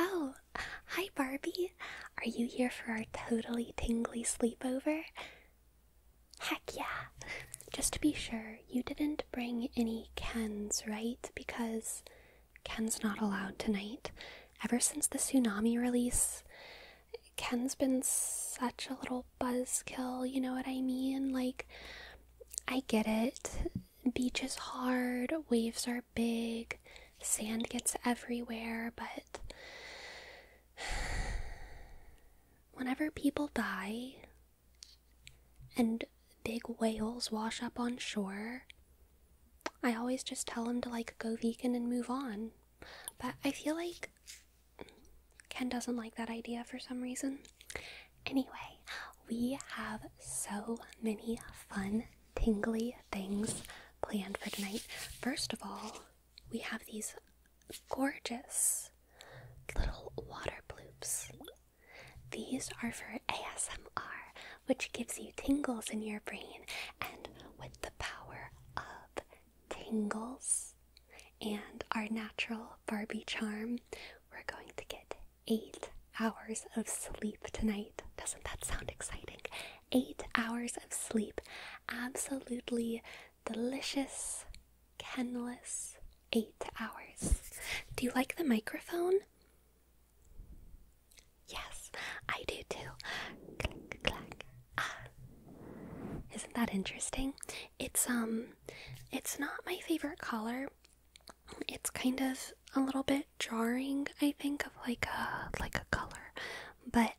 Oh, hi Barbie. Are you here for our totally tingly sleepover? Heck yeah. Just to be sure, you didn't bring any Kens, right? Because Ken's not allowed tonight. Ever since the tsunami release, Ken's been such a little buzzkill, you know what I mean? Like, I get it. Beach is hard, waves are big, sand gets everywhere, but whenever people die and big whales wash up on shore, I always just tell them to like go vegan and move on. But I feel like Ken doesn't like that idea for some reason. Anyway, we have so many fun, tingly things planned for tonight. First of all, we have these gorgeous little water bloops. These are for ASMR, which gives you tingles in your brain, and with the power of tingles, and our natural Barbie charm, we're going to get eight hours of sleep tonight. Doesn't that sound exciting? Eight hours of sleep. Absolutely delicious, endless eight hours. Do you like the microphone? Yes, I do too. Clack, clack. Ah. Isn't that interesting? It's um it's not my favorite color. It's kind of a little bit jarring, I think, of like a like a color. But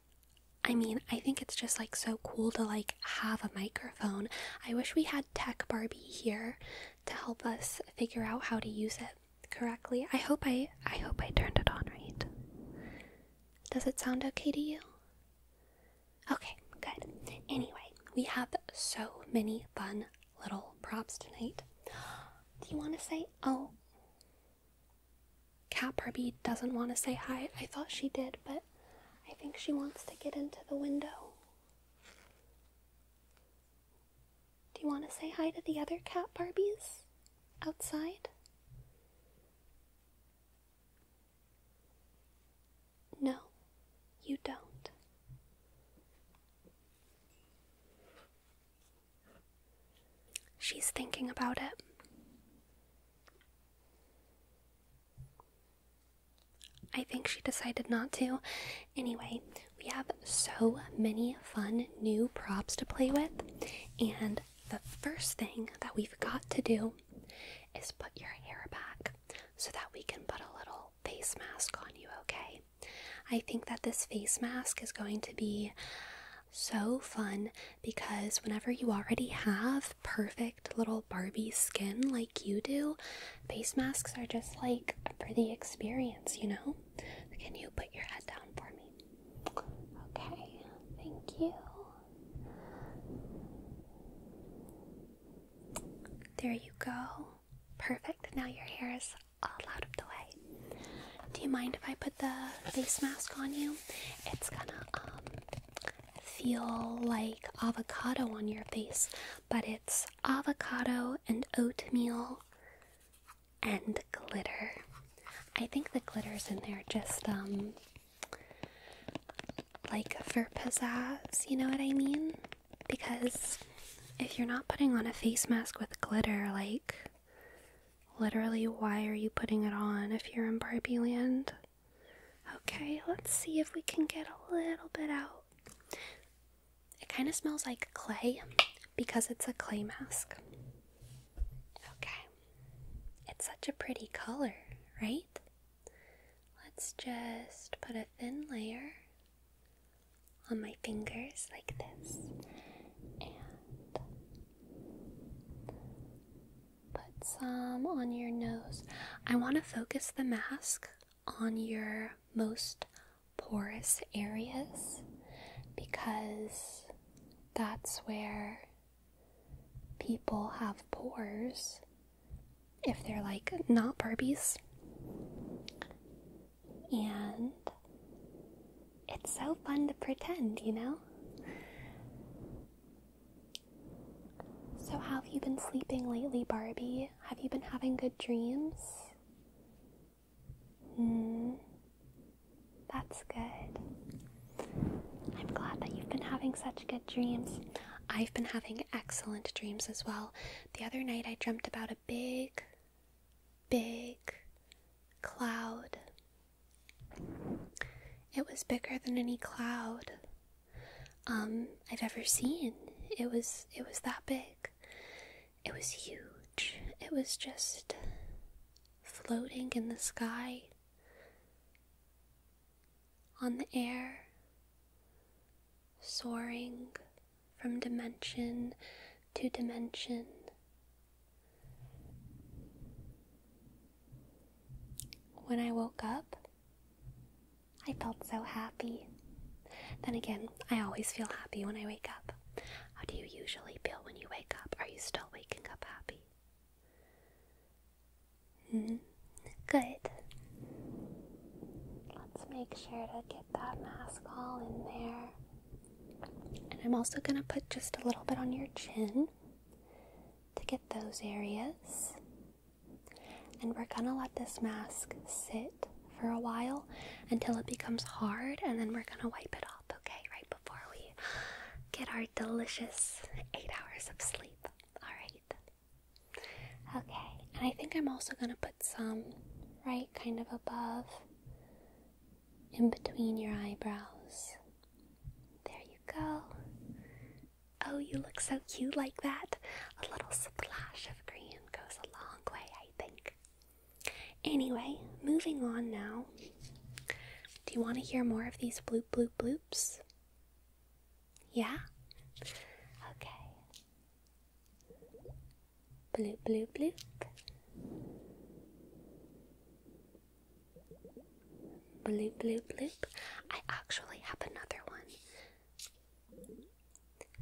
I mean, I think it's just like so cool to like have a microphone. I wish we had Tech Barbie here to help us figure out how to use it correctly. I hope I I hope I turned it on right. Does it sound okay to you? Okay, good. Anyway, we have so many fun little props tonight. Do you want to say, oh, Cat Barbie doesn't want to say hi. I thought she did, but I think she wants to get into the window. Do you want to say hi to the other Cat Barbies outside? No, you don't. She's thinking about it. I think she decided not to. Anyway, we have so many fun new props to play with, and the first thing that we've got to do is put your hair back so that we can put a little face mask on you, okay? I think that this face mask is going to be so fun because whenever you already have perfect little Barbie skin like you do, face masks are just like for the experience, you know? Can you put your head down for me? Okay, thank you. There you go. Perfect. Now your hair is all out of the way. Do you mind if I put the face mask on you? It's gonna um, feel like avocado on your face, but it's avocado and oatmeal and glitter. I think the glitter's in there just um like for pizzazz, you know what I mean? Because if you're not putting on a face mask with glitter, like literally, why are you putting it on if you're in Barbie land? Okay, let's see if we can get a little bit out. It kind of smells like clay because it's a clay mask. Okay. It's such a pretty color, right? Let's just put a thin layer on my fingers like this and put some on your nose. I want to focus the mask on your most porous areas because that's where people have pores if they're like not Barbies. And it's so fun to pretend, you know? So, how have you been sleeping lately, Barbie? Have you been having good dreams? Hmm, that's good. I'm glad that you've been having such good dreams. I've been having excellent dreams as well. The other night I dreamt about a big, big cloud. It was bigger than any cloud um, I've ever seen. It was it was that big. It was huge. It was just floating in the sky on the air, soaring from dimension to dimension. When I woke up, I felt so happy. Then again, I always feel happy when I wake up. How do you usually feel when you wake up? Are you still waking up happy? Mm, good. Let's make sure to get that mask all in there. And I'm also going to put just a little bit on your chin to get those areas. And we're going to let this mask sit for a while until it becomes hard, and then we're going to wipe it off, okay? Right before we get our delicious eight hours of sleep. All right. Okay, and I think I'm also going to put some right kind of above, in between your eyebrows. There you go. Oh, you look so cute like that. A little splash of green goes a long way, I think. Anyway, moving on now. Do you want to hear more of these bloop bloop bloops? Yeah? Okay. Bloop, bloop, bloop. Bloop, bloop, bloop. I actually have another one.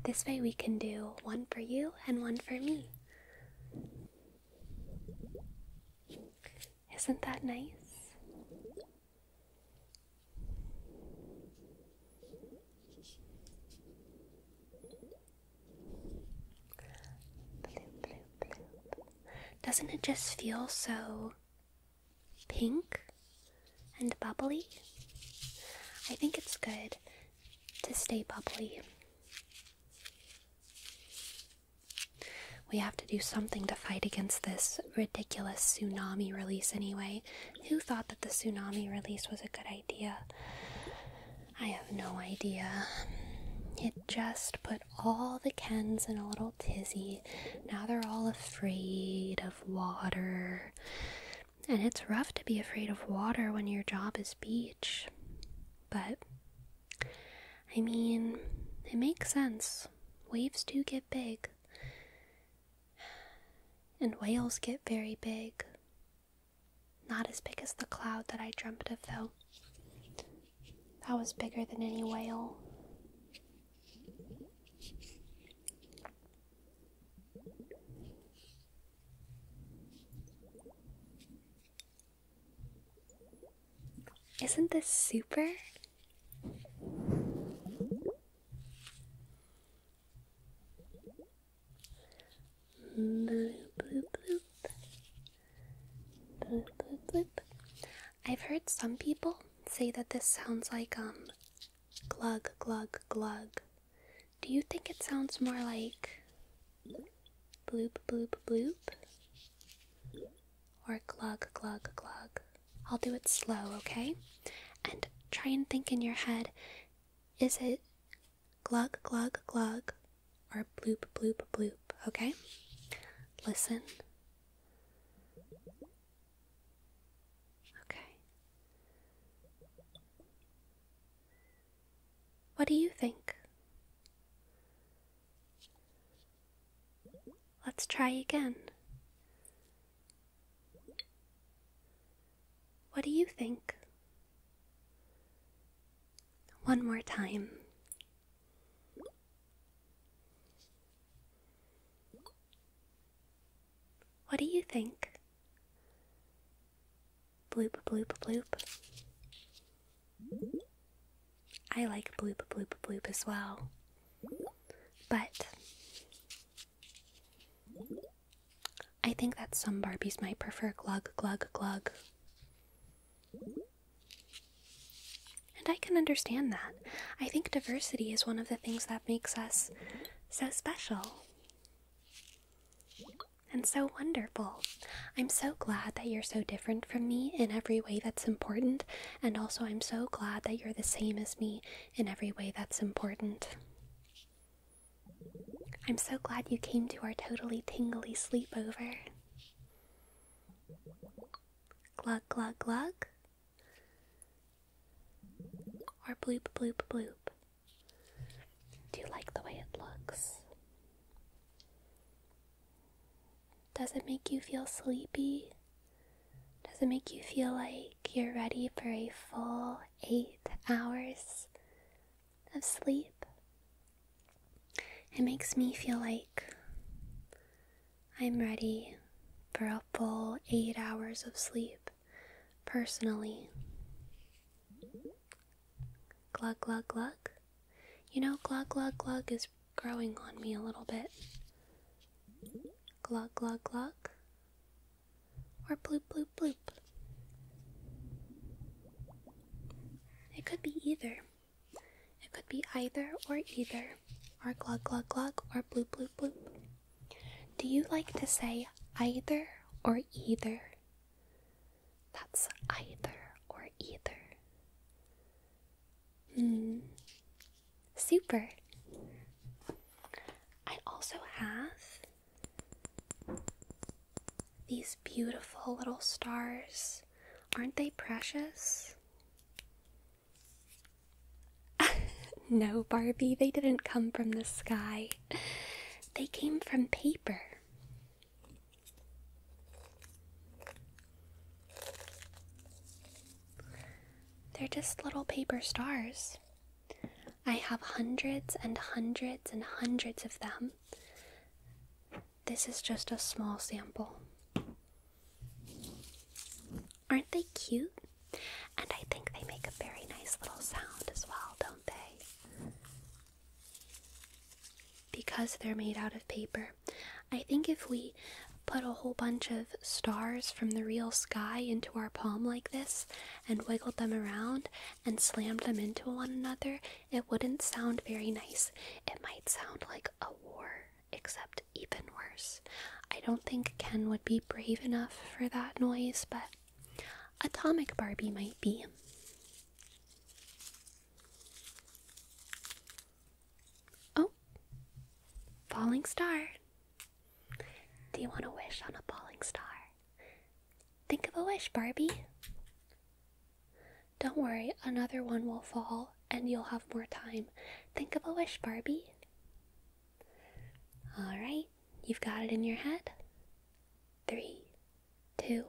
This way we can do one for you and one for me. Isn't that nice? Doesn't it just feel so pink and bubbly? I think it's good to stay bubbly. We have to do something to fight against this ridiculous tsunami release anyway? Who thought that the tsunami release was a good idea? I have no idea. It just put all the Kens in a little tizzy. Now they're all afraid of water. And it's rough to be afraid of water when your job is beach. But, I mean, it makes sense. Waves do get big. And whales get very big. Not as big as the cloud that I dreamt of, though. That was bigger than any whale. Isn't this super? Bloop, bloop, bloop. Bloop, bloop, I've heard some people say that this sounds like um glug glug glug. Do you think it sounds more like bloop bloop bloop or glug glug glug? I'll do it slow, okay? And try and think in your head is it glug, glug, glug, or bloop, bloop, bloop, okay? Listen. Okay. What do you think? Let's try again. What do you think? One more time. What do you think? Bloop, bloop, bloop. I like bloop, bloop, bloop as well. But I think that some Barbies might prefer glug, glug, glug. And I can understand that. I think diversity is one of the things that makes us so special and so wonderful. I'm so glad that you're so different from me in every way that's important, and also I'm so glad that you're the same as me in every way that's important. I'm so glad you came to our totally tingly sleepover. Glug, glug, glug. Or bloop, bloop, bloop. Do you like the way it looks? Does it make you feel sleepy? Does it make you feel like you're ready for a full eight hours of sleep? It makes me feel like I'm ready for a full eight hours of sleep personally. Glug, glug, glug. You know, glug, glug, glug is growing on me a little bit. Glug, glug, glug. Or bloop bloop bloop. It could be either. It could be either or either. Or glug glug glug or bloop bloop bloop. Do you like to say either or either? That's either or either. Hmm. Super. I also have these beautiful little stars. Aren't they precious? no, Barbie, they didn't come from the sky. They came from paper. They're just little paper stars. I have hundreds and hundreds and hundreds of them. This is just a small sample. Aren't they cute? And I think they make a very nice little sound as well, don't they? Because they're made out of paper. I think if we put a whole bunch of stars from the real sky into our palm like this and wiggled them around and slammed them into one another, it wouldn't sound very nice. It might sound like a war, except even worse. I don't think Ken would be brave enough for that noise, but Atomic Barbie might be. Oh, falling star. Do you want to wish on a falling star? Think of a wish, Barbie. Don't worry, another one will fall and you'll have more time. Think of a wish, Barbie. Alright, you've got it in your head. Three, two,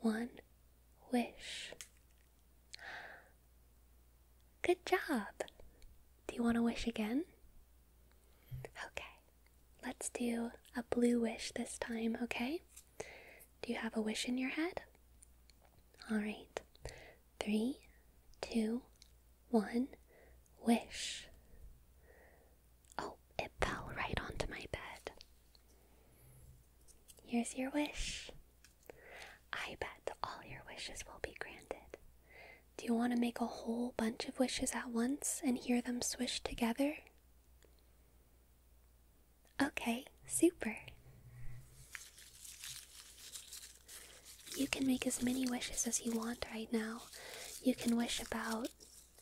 one, wish. Good job. Do you want to wish again? Okay, let's do a blue wish this time, okay? Do you have a wish in your head? All right. Three, two, one, wish. Oh, it fell right onto my bed. Here's your wish. I bet all your wishes will be granted. Do you want to make a whole bunch of wishes at once and hear them swish together? Okay, super. You can make as many wishes as you want right now. You can wish about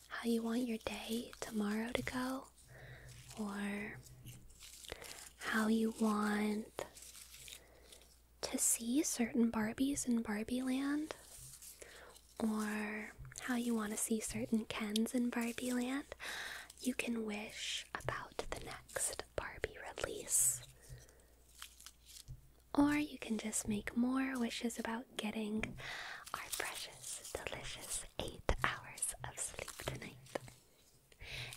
how you want your day tomorrow to go, or how you want to see certain Barbies in Barbie Land, or how you want to see certain Kens in Barbie Land, you can wish about the next Barbie release. Or you can just make more wishes about getting our precious, delicious eight hours of sleep tonight.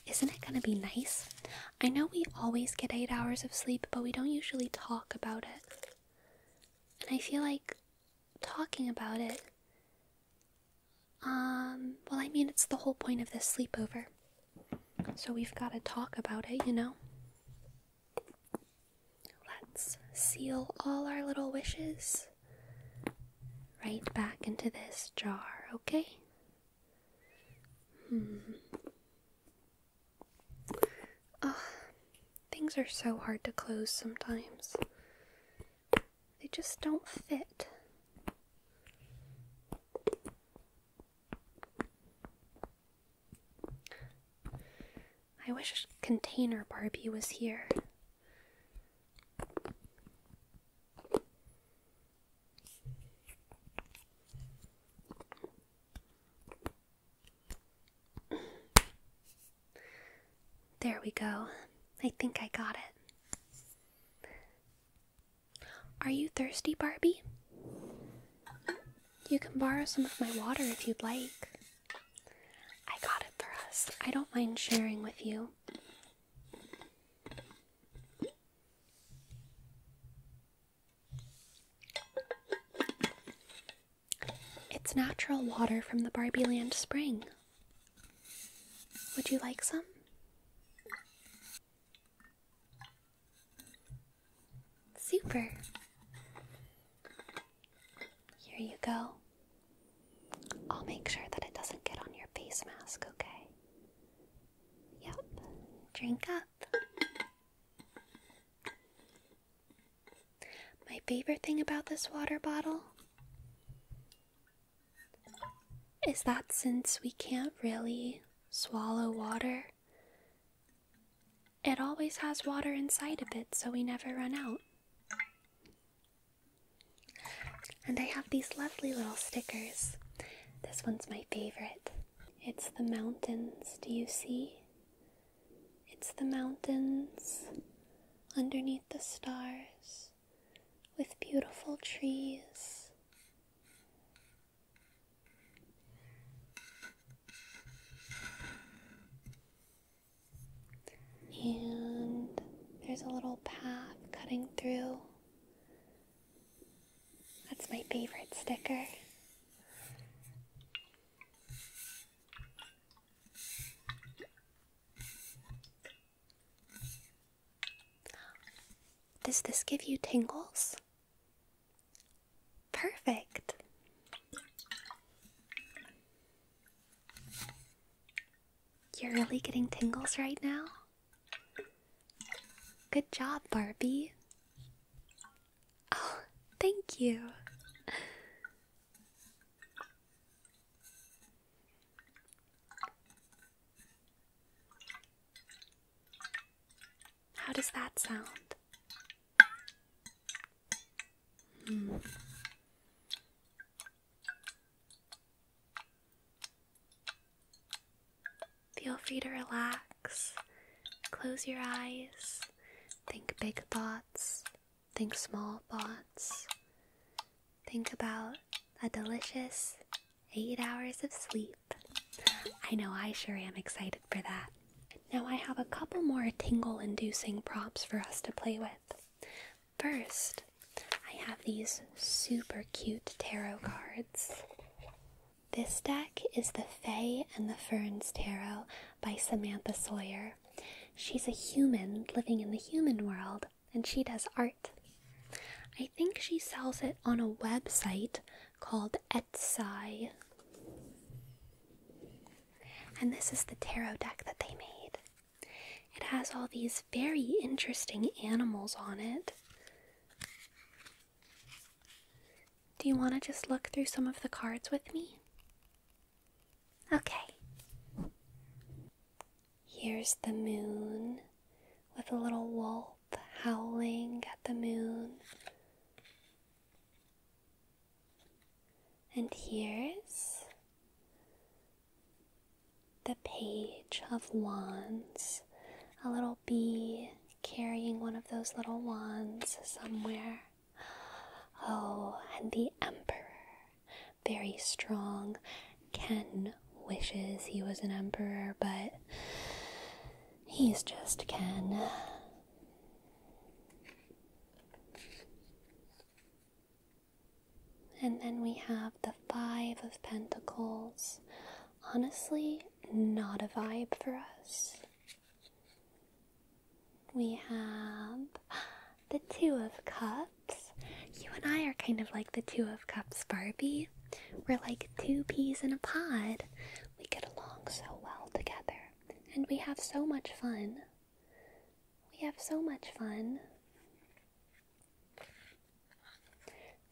Isn't it going to be nice I know we always get eight hours of sleep, but we don't usually talk about it. And I feel like talking about it. Um, well, I mean, it's the whole point of this sleepover. So we've got to talk about it, you know? Let's seal all our little wishes right back into this jar, okay? Hmm things are so hard to close sometimes. They just don't fit. I wish Container Barbie was here. There we go. I think I got it. Are you thirsty, Barbie? You can borrow some of my water if you'd like. I got it for us. I don't mind sharing with you. It's natural water from the Barbieland spring. Would you like some? Super. Here you go. I'll make sure that it doesn't get on your face mask, okay? Yep. Drink up. My favorite thing about this water bottle is that since we can't really swallow water, it always has water inside of it so we never run out. And I have these lovely little stickers. This one's my favorite. It's the mountains, do you see? It's the mountains underneath the stars with beautiful trees. And there's a little path cutting through that's my favorite sticker. Does this give you tingles? Perfect. You're really getting tingles right now? Good job, Barbie. Oh, thank you. How does that sound? Hmm. Feel free to relax, close your eyes, think big thoughts, think small thoughts. Think about a delicious eight hours of sleep. I know I sure am excited for that. Now, I have a couple more tingle inducing props for us to play with. First, I have these super cute tarot cards. This deck is The Fae and the Ferns Tarot by Samantha Sawyer. She's a human living in the human world, and she does art. I think she sells it on a website called Etsy. And this is the tarot deck that they made. It has all these very interesting animals on it. Do you want to just look through some of the cards with me? Okay. Here's the moon with a little wolf howling at the moon. And here's the page of wands, a little be carrying one of those little wands somewhere. Oh, and the Emperor, very strong. Ken wishes he was an Emperor, but he's just Ken. And then we have the Five of Pentacles. Honestly, not a vibe for us. We have the Two of Cups. You and I are kind of like the Two of Cups, Barbie. We're like two peas in a pod. We get along so well together, and we have so much fun. We have so much fun.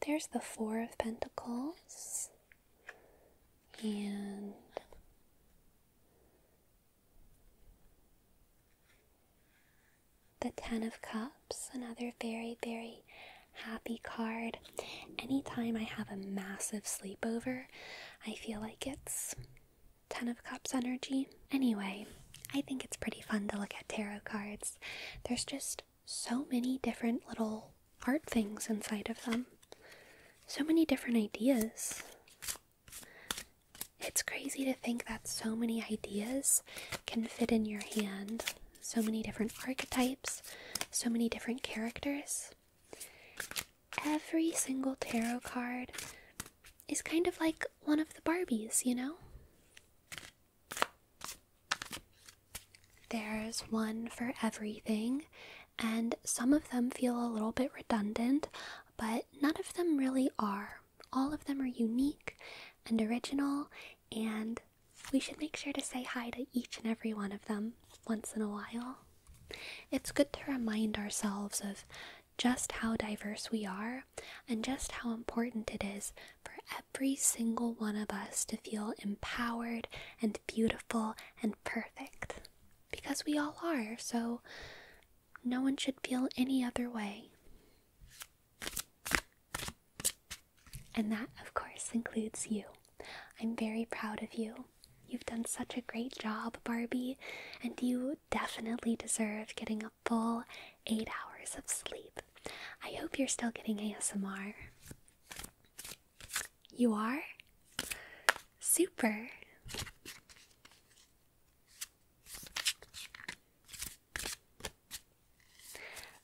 There's the Four of Pentacles and the Ten of Cups, another very, very happy card. Anytime I have a massive sleepover, I feel like it's Ten of Cups energy. Anyway, I think it's pretty fun to look at tarot cards. There's just so many different little art things inside of them. So many different ideas. It's crazy to think that so many ideas can fit in your hand. So many different archetypes, so many different characters. Every single tarot card is kind of like one of the Barbies, you know? There's one for everything, and some of them feel a little bit redundant, but none of them really are. All of them are unique and original, and we should make sure to say hi to each and every one of them once in a while. It's good to remind ourselves of just how diverse we are and just how important it is for every single one of us to feel empowered and beautiful and perfect. Because we all are, so no one should feel any other way. And that, of course, includes you. I'm very proud of you. You've done such a great job, Barbie, and you definitely deserve getting a full eight hours of sleep. I hope you're still getting ASMR. You are? Super.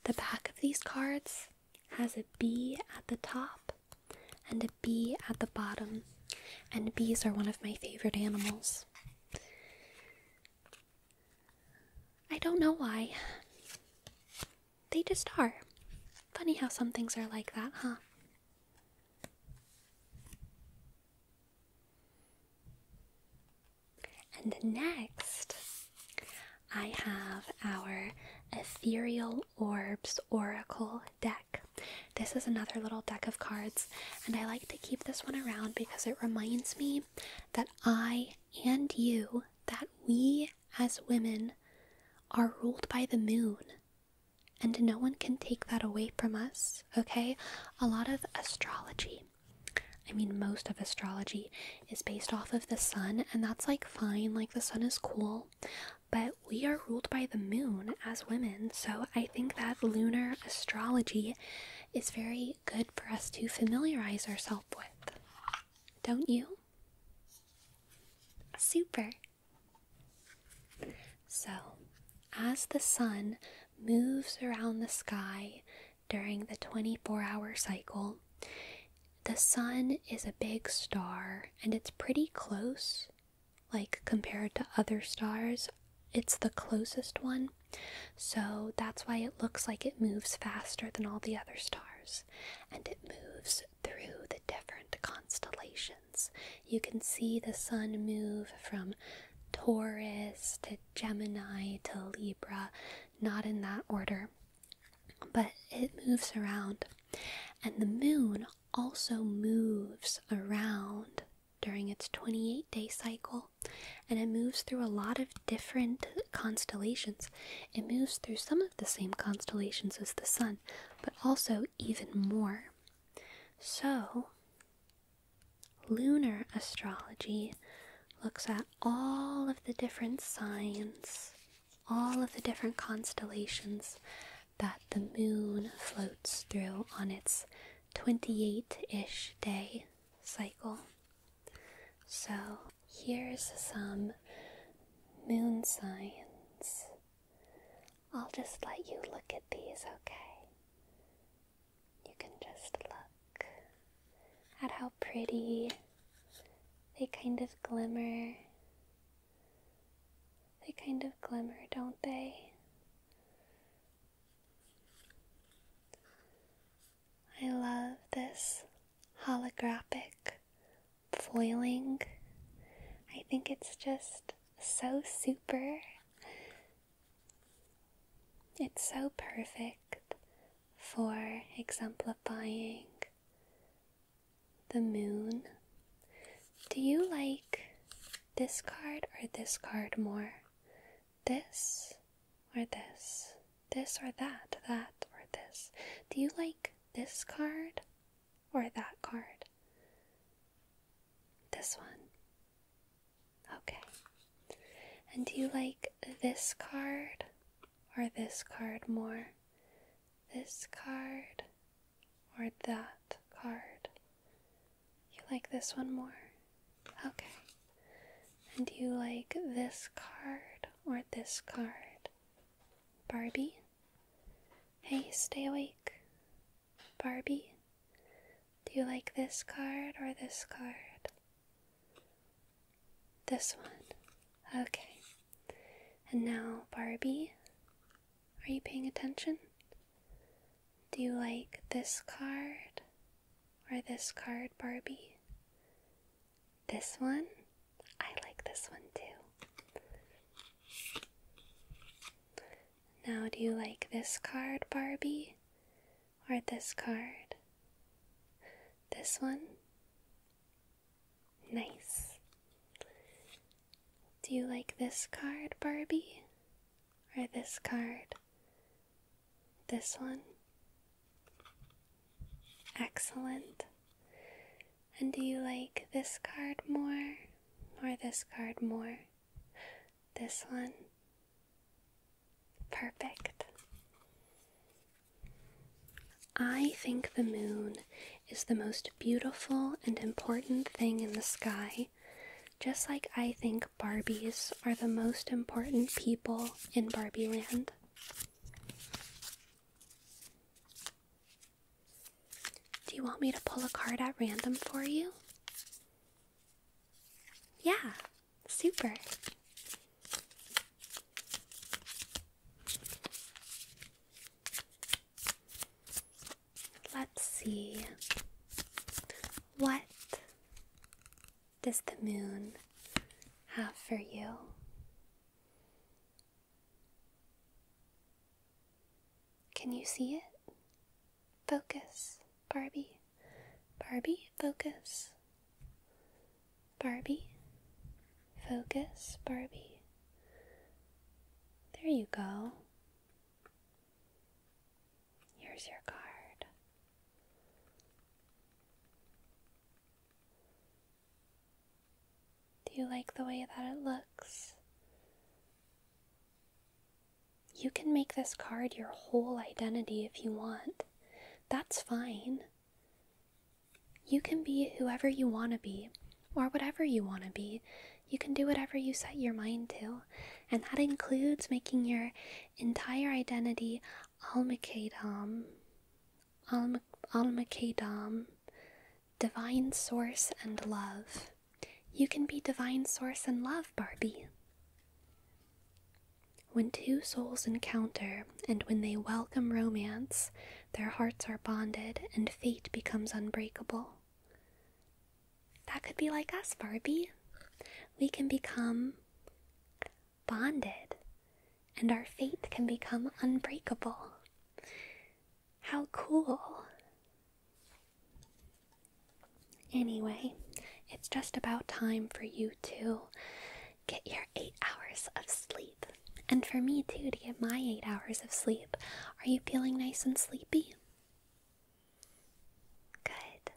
The back of these cards has a bee at the top and a bee at the bottom, and bees are one of my favorite animals. I don't know why. They just are. Funny how some things are like that, huh? And next, I have our Ethereal Orbs Oracle deck. This is another little deck of cards, and I like to keep this one around because it reminds me that I and you, that we as women, are ruled by the moon. And no one can take that away from us, okay? A lot of astrology, I mean, most of astrology, is based off of the sun, and that's like fine, like the sun is cool, but we are ruled by the moon as women, so I think that lunar astrology is very good for us to familiarize ourselves with. Don't you? Super. So, as the sun moves around the sky during the 24 hour cycle, the sun is a big star and it's pretty close, like compared to other stars. It's the closest one, so that's why it looks like it moves faster than all the other stars. And it moves through the different constellations. You can see the sun move from Taurus to Gemini to Libra, not in that order, but it moves around. And the moon also moves around during its 28 day cycle and it moves through a lot of different constellations. It moves through some of the same constellations as the Sun, but also even more. So, lunar astrology looks at all of the different signs, all of the different constellations that the moon floats through on its 28 ish day cycle. So, Here's some moon signs. I'll just let you look at these, okay? You can just look at how pretty they kind of glimmer. They kind of glimmer, don't they? I love this holographic foiling. I think it's just so super. It's so perfect for exemplifying the moon. Do you like this card or this card more? This or this? This or that? That or this? Do you like this card or that card? This one. Okay. And do you like this card or this card more? This card or that card? You like this one more? Okay. And do you like this card or this card? Barbie. Hey, stay awake. Barbie. Do you like this card or this card? This one. Okay. And now, Barbie, are you paying attention? Do you like this card or this card, Barbie? This one? I like this one too. Now, do you like this card, Barbie? Or this card? This one? Nice. Do you like this card, Barbie? Or this card? This one? Excellent. And do you like this card more or this card more? This one? Perfect. I think the moon is the most beautiful and important thing in the sky, just like I think Barbies are the most important people in Barbie do you want me to pull a card at random for you? Yeah, super. Let's see. What does the moon have for you? Can you see it? Focus, Barbie. Barbie, focus. Barbie, focus, Barbie. There you go. Here's your card. Do you like the way that it looks? You can make this card your whole identity if you want. That's fine. You can be whoever you want to be, or whatever you want to be. You can do whatever you set your mind to, and that includes making your entire identity Almakatam, Al Almakadam, Divine Source and Love. You can be Divine Source and Love, Barbie. When two souls encounter, and when they welcome romance, their hearts are bonded and fate becomes unbreakable. That could be like us, Barbie. We can become bonded and our faith can become unbreakable. How cool! Anyway, it's just about time for you to get your eight hours of sleep. And for me too, to get my eight hours of sleep. Are you feeling nice and sleepy? Good.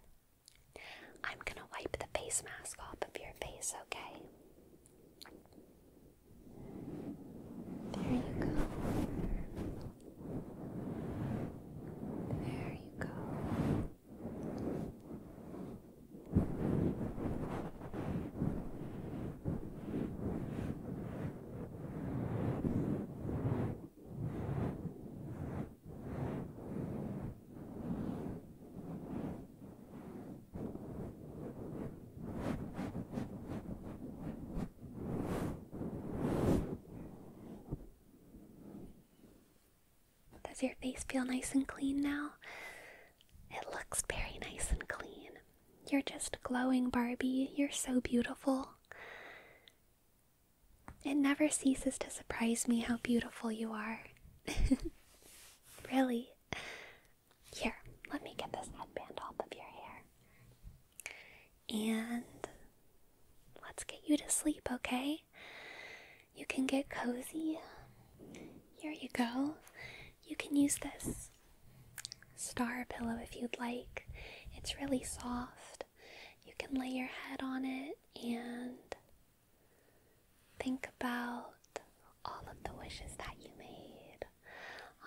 I'm gonna wipe the face mask off of your face, okay? There you go. There you go. Does your face feel nice and clean now? It looks very nice and clean. You're just glowing, Barbie. You're so beautiful. It never ceases to surprise me how beautiful you are. really, here, let me get this headband off of your hair. And let's get you to sleep, okay? You can get cozy. Here you go. You can use this star pillow if you'd like. It's really soft. You can lay your head on it and think about all of the wishes that you made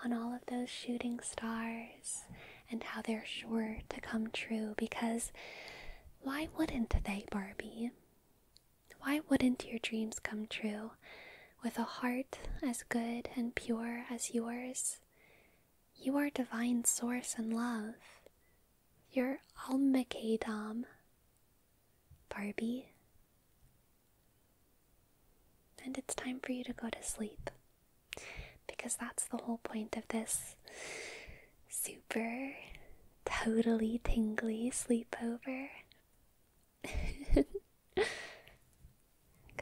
on all of those shooting stars and how they're sure to come true because why wouldn't they, Barbie? Why wouldn't your dreams come true with a heart as good and pure as yours? You are divine source and love. You're Almakedam. Barbie, and it's time for you to go to sleep. Because that's the whole point of this super, totally tingly sleepover. go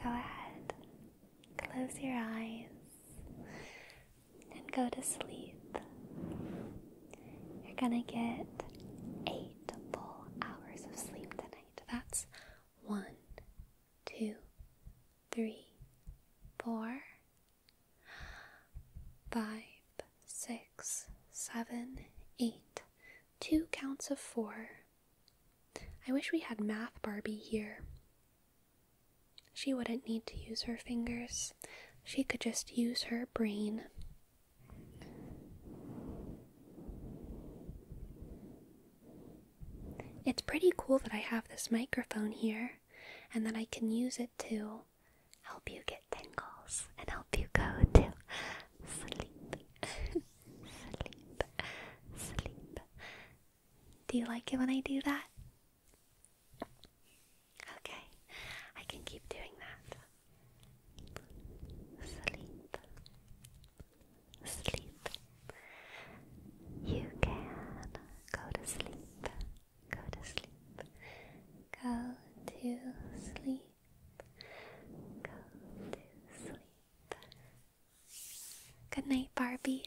ahead, close your eyes, and go to sleep. You're gonna get eight eight full hours of sleep tonight. That's one, two, three, four, five, six, seven, eight. Two counts of four. I wish we had Math Barbie here. She wouldn't need to use her fingers. She could just use her brain. It's pretty cool that I have this microphone here and that I can use it to help you get tingles and help you go to sleep. sleep. Sleep. Do you like it when I do that? Okay, I can keep doing that. Sleep. Sleep. You can go to sleep. Go to sleep. Go to sleep. Go to sleep. Good night, Barbie.